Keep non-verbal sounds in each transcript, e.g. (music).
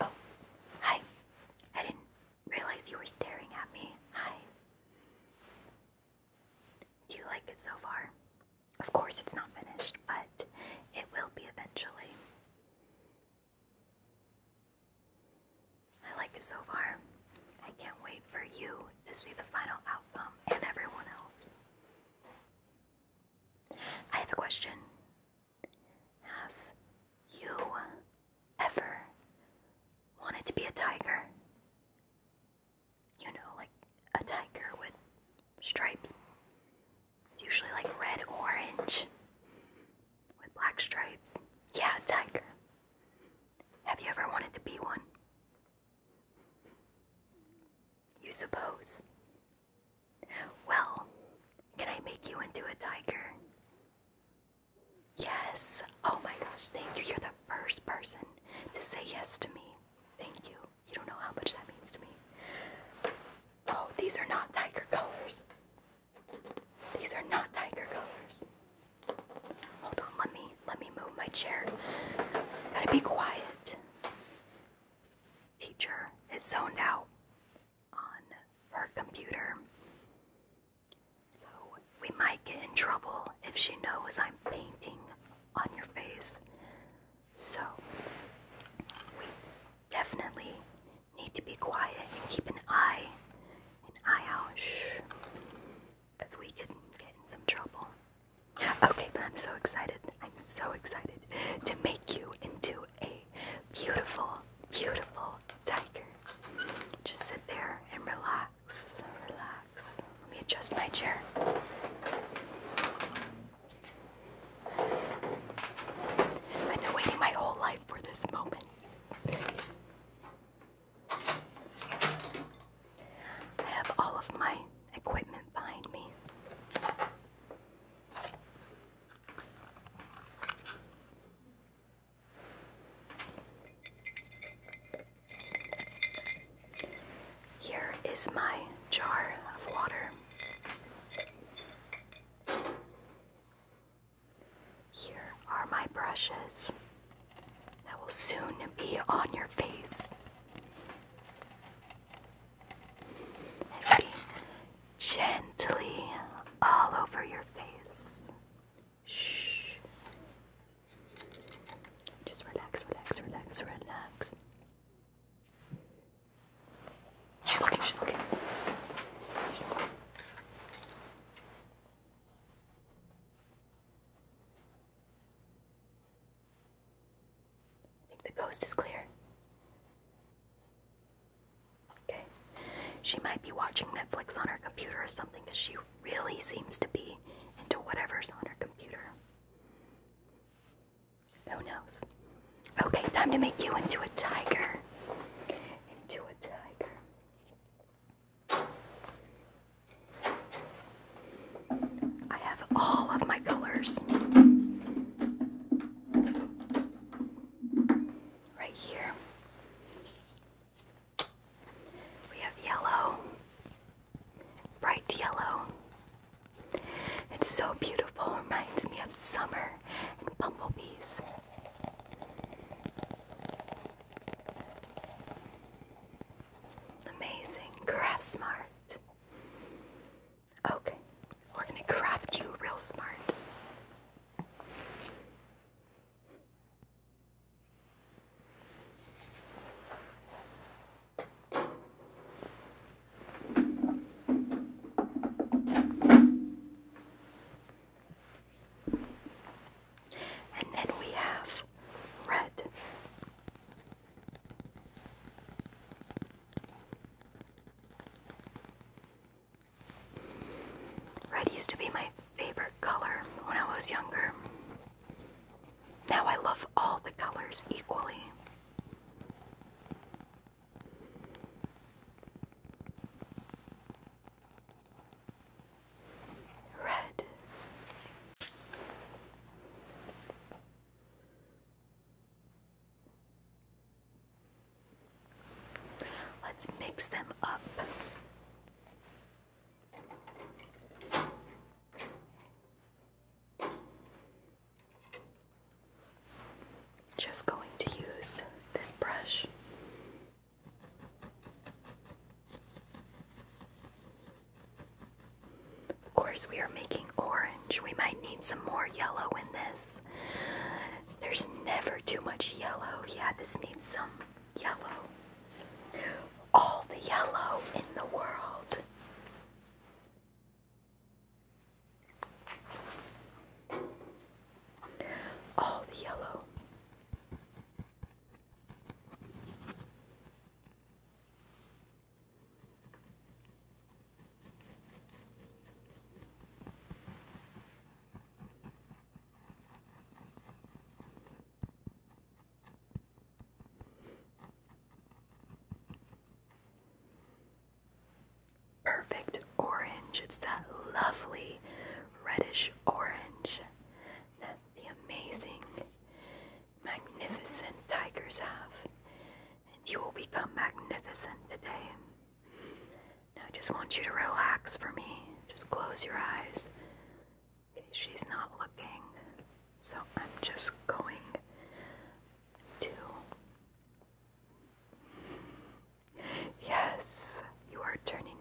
Oh, hi. I didn't realize you were staring at me. Hi. Do you like it so far? Of course, it's not finished, but it will be eventually. I like it so far. I can't wait for you to see the final outcome and everyone else. I have a question. Have you ever wanted to be a tiger? you know, like a tiger with stripes. It's usually like red orange with black stripes. Yeah, tiger. Have you ever wanted to be one? You suppose? Well, can I make you into a tiger? Yes. Oh my gosh, thank you. You're the first person to say yes to me. Thank you. You don't know how much that means to me. Oh, these are not tiger colors. These are not tiger colors. Hold on, let me let me move my chair. Gotta be quiet. Teacher is zoned out on her computer. So we might get in trouble if she knows I'm painting on your face. So, we definitely need to be quiet and keep an eye, an eye out, shh, because we could get in some trouble. Okay, but I'm so excited. I'm so excited to make you into a beautiful, beautiful tiger. Just sit there and relax, relax. Let me adjust my chair. I've been waiting my whole life for this moment. I have all of my equipment behind me. Here is my jar of water. Here are my brushes that will soon be on your face. And be gently all over your face. Shh. Just relax, relax, relax, relax. She's looking, she's looking. I think the coast is clear. Okay. She might be watching Netflix on her computer or something because she really seems to be into whatever's on her computer. Who knows? Okay, time to make you into a tiger. Into a tiger. I have all of my colors right here. We have yellow, bright yellow. It's so beautiful, reminds me of summer and bumblebees. Amazing, craft smart. Okay, we're gonna craft you real smart. And then we have red. Red used to be my favorite color when I was younger. Now I love all the colors equally. Red. Let's mix them up. Just going to use this brush. Of course, we are making orange. We might need some more yellow in this. There's never too much yellow. Yeah, this needs some yellow. All the yellow in the world. All the yellow. Perfect orange. It's that lovely reddish orange that the amazing, magnificent tigers have. And you will become magnificent today. Now I just want you to relax for me. Just close your eyes. Okay, she's not looking, so I'm just going to. Yes, you are turning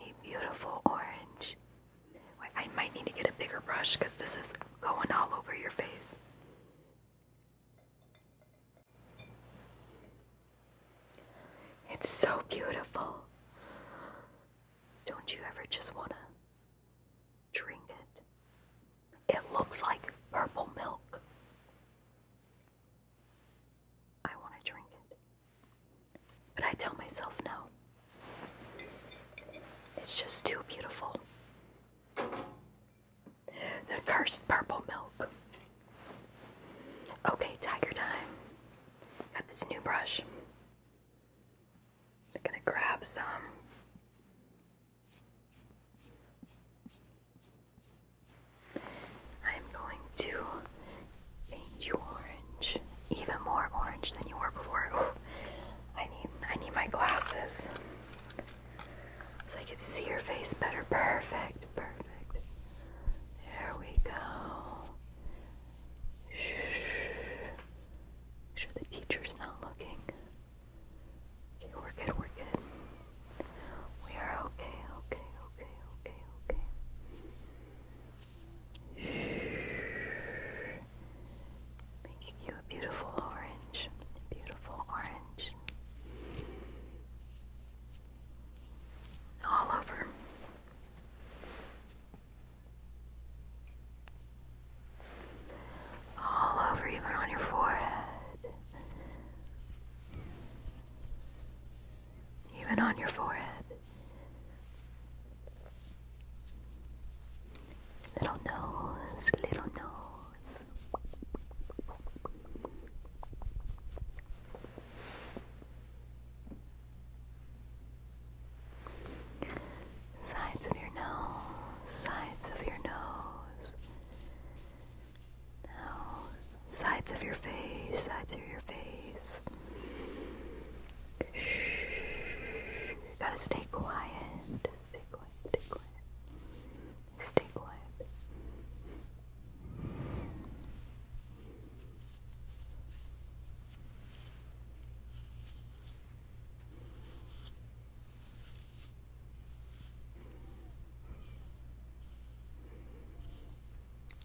a beautiful orange. I might need to get a bigger brush because this is going all over your face. It's so beautiful. Don't you ever just want to trinket. It looks like purple milk. I want to drink it. But I tell myself no. It's just too beautiful. The cursed purple milk. Okay, tiger time. Got this new brush. I'm gonna grab some. I'm going to paint you orange, even more orange than you were before. I need I need my glasses so I can see your face better. Perfect, perfect. There we go. Make sure the teacher's not looking. we're good, we're good. We are okay, okay, okay, okay, okay. Making you a beautiful orange. Beautiful orange. All over all over you on your forehead, even on your forehead. Little nose, little nose sides of your nose, sides of your nose. Now, sides of your face, sides of your face. You gotta stay quiet. Stay quiet, stay quiet. Stay quiet.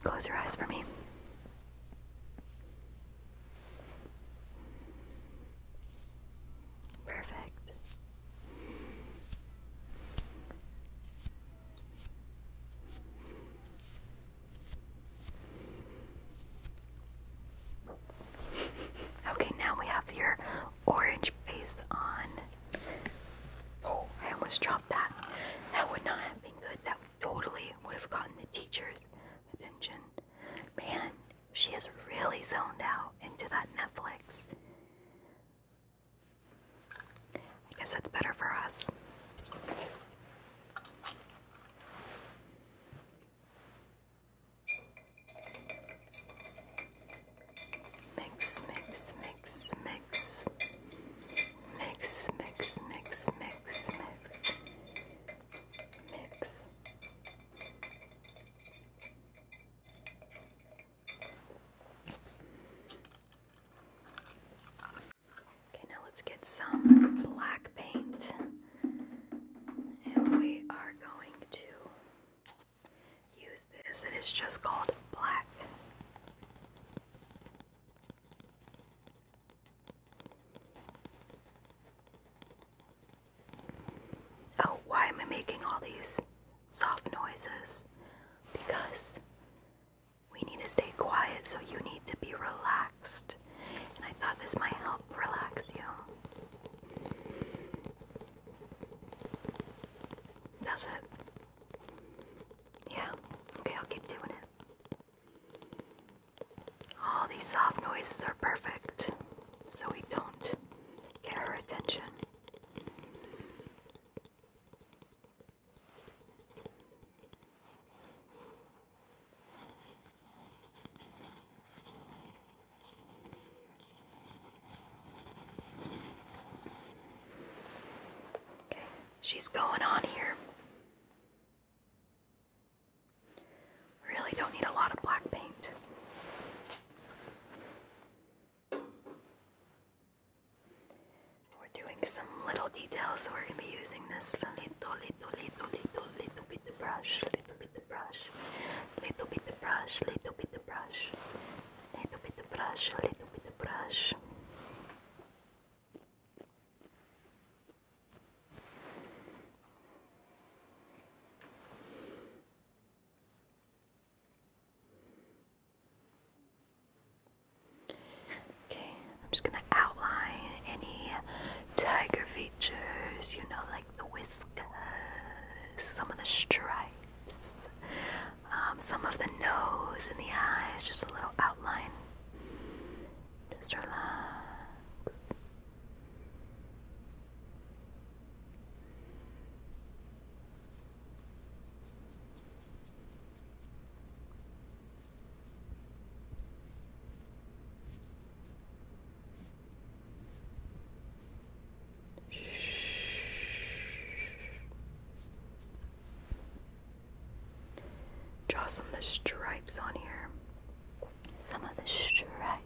Close your eyes for me. Perfect. (laughs) Okay, now we have your orange face on. Oh, I almost dropped that. That would not have been good. That totally would have gotten the teacher's attention. Man, she is really zoned out into that Netflix. I guess that's better for us. Mix, mix, mix, mix. Mix, mix, mix, mix, mix. Mix. Okay, now let's get some black paint. And we are going to use this, it's just called black. Oh, why am I making all these soft noises? Because we need to stay quiet, so you need to be relaxed. And I thought this might help relax you. That's it. Yeah, okay, I'll keep doing it. All these soft noises are perfect so we don't get her attention. Okay, she's going on here. Really don't need a lot of black paint. We're doing some little details, so we're going to be using this Sanitoli little, little, little, little bit the brush, little bit the brush, little bit the brush, little bit the brush, little bit the brush, little bit the brush. Okay, I'm just gonna outline any tiger features, you know, like the whiskers, some of the stripes, um, some of the nose and the eyes, just a little outline. Just relax. Draw some of the stripes on here. Some of the stripes.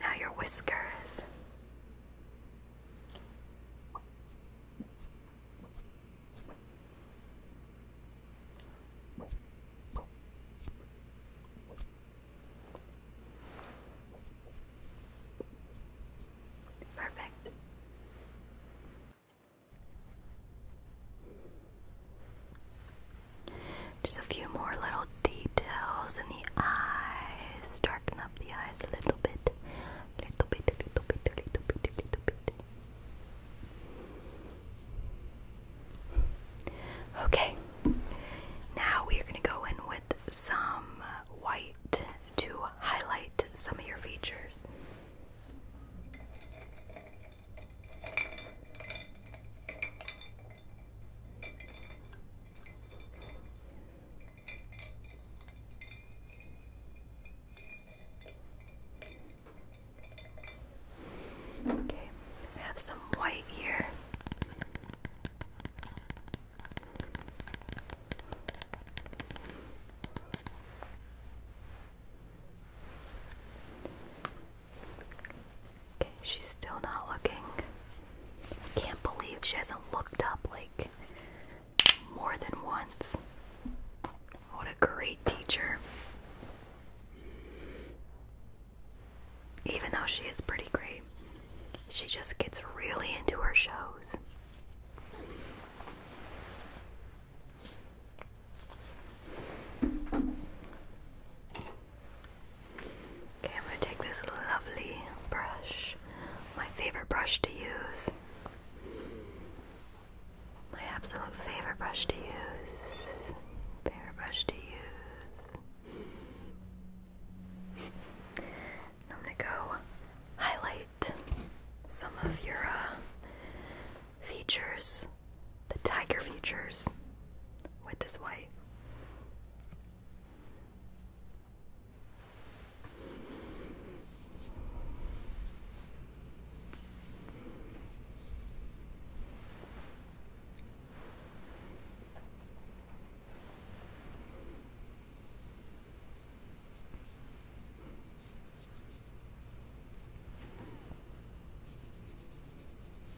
Now your whiskers. Perfect. Just a few more little details in the eyes. Darken up the eyes a little bit. Little bit, little bit, little bit, little bit. Okay, now we are going to go in with some white to highlight some of your features. Okay, I have some white here she's still not looking. I can't believe she hasn't looked up like more than once. What a great teacher. Even though she is pretty great, she just gets really into her shows. Okay, I'm going to take this lovely brush, my favorite brush to use. My absolute favorite brush to use. Favorite brush to use. I'm going to go highlight some of your uh, features the tiger features with this white.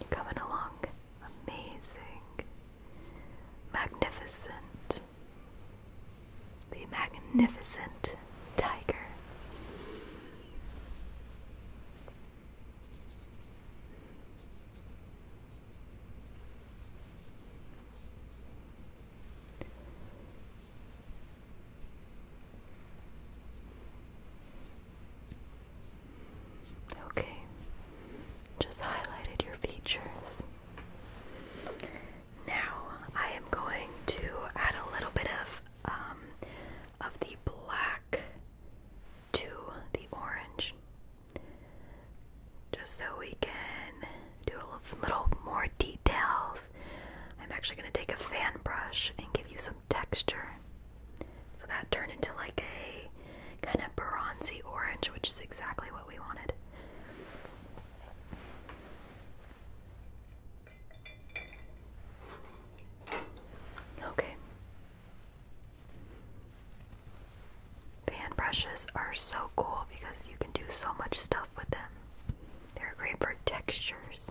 You coming along? Amazing. Magnificent. The magnificent tiger. Okay, just highlighted your features. Now I am going to add a little bit of um, of the black to the orange, just so we can do a little more details. I'm actually going to take a fan brush and give you some texture. So that turned into like a kind of bronzy orange, which is exactly what we wanted. Okay. Fan brushes are so cool because you can do so much stuff with them. They're great for textures.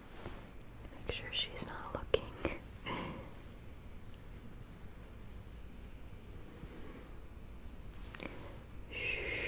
Make sure she's not looking. Shh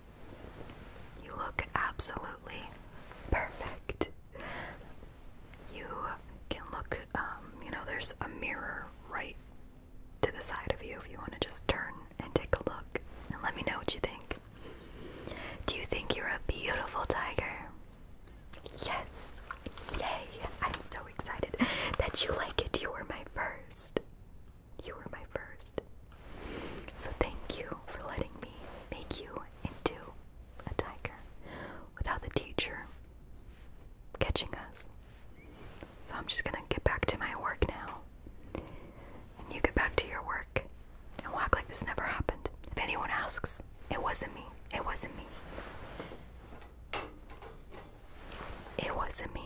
You look absolutely perfect. You can look, um, you know, there's a mirror right to the side of you if you want to just turn and take a look and let me know what you think. Do you think you're a beautiful tiger? Yes! Yay! I'm so excited that you like it. You were my first. You were my first. So thank you for letting me make you into a tiger without the teacher catching us. So I'm just gonna get back to my work now. And you get back to your work and walk like this never happened. If anyone asks, it wasn't me. It wasn't me. It wasn't me.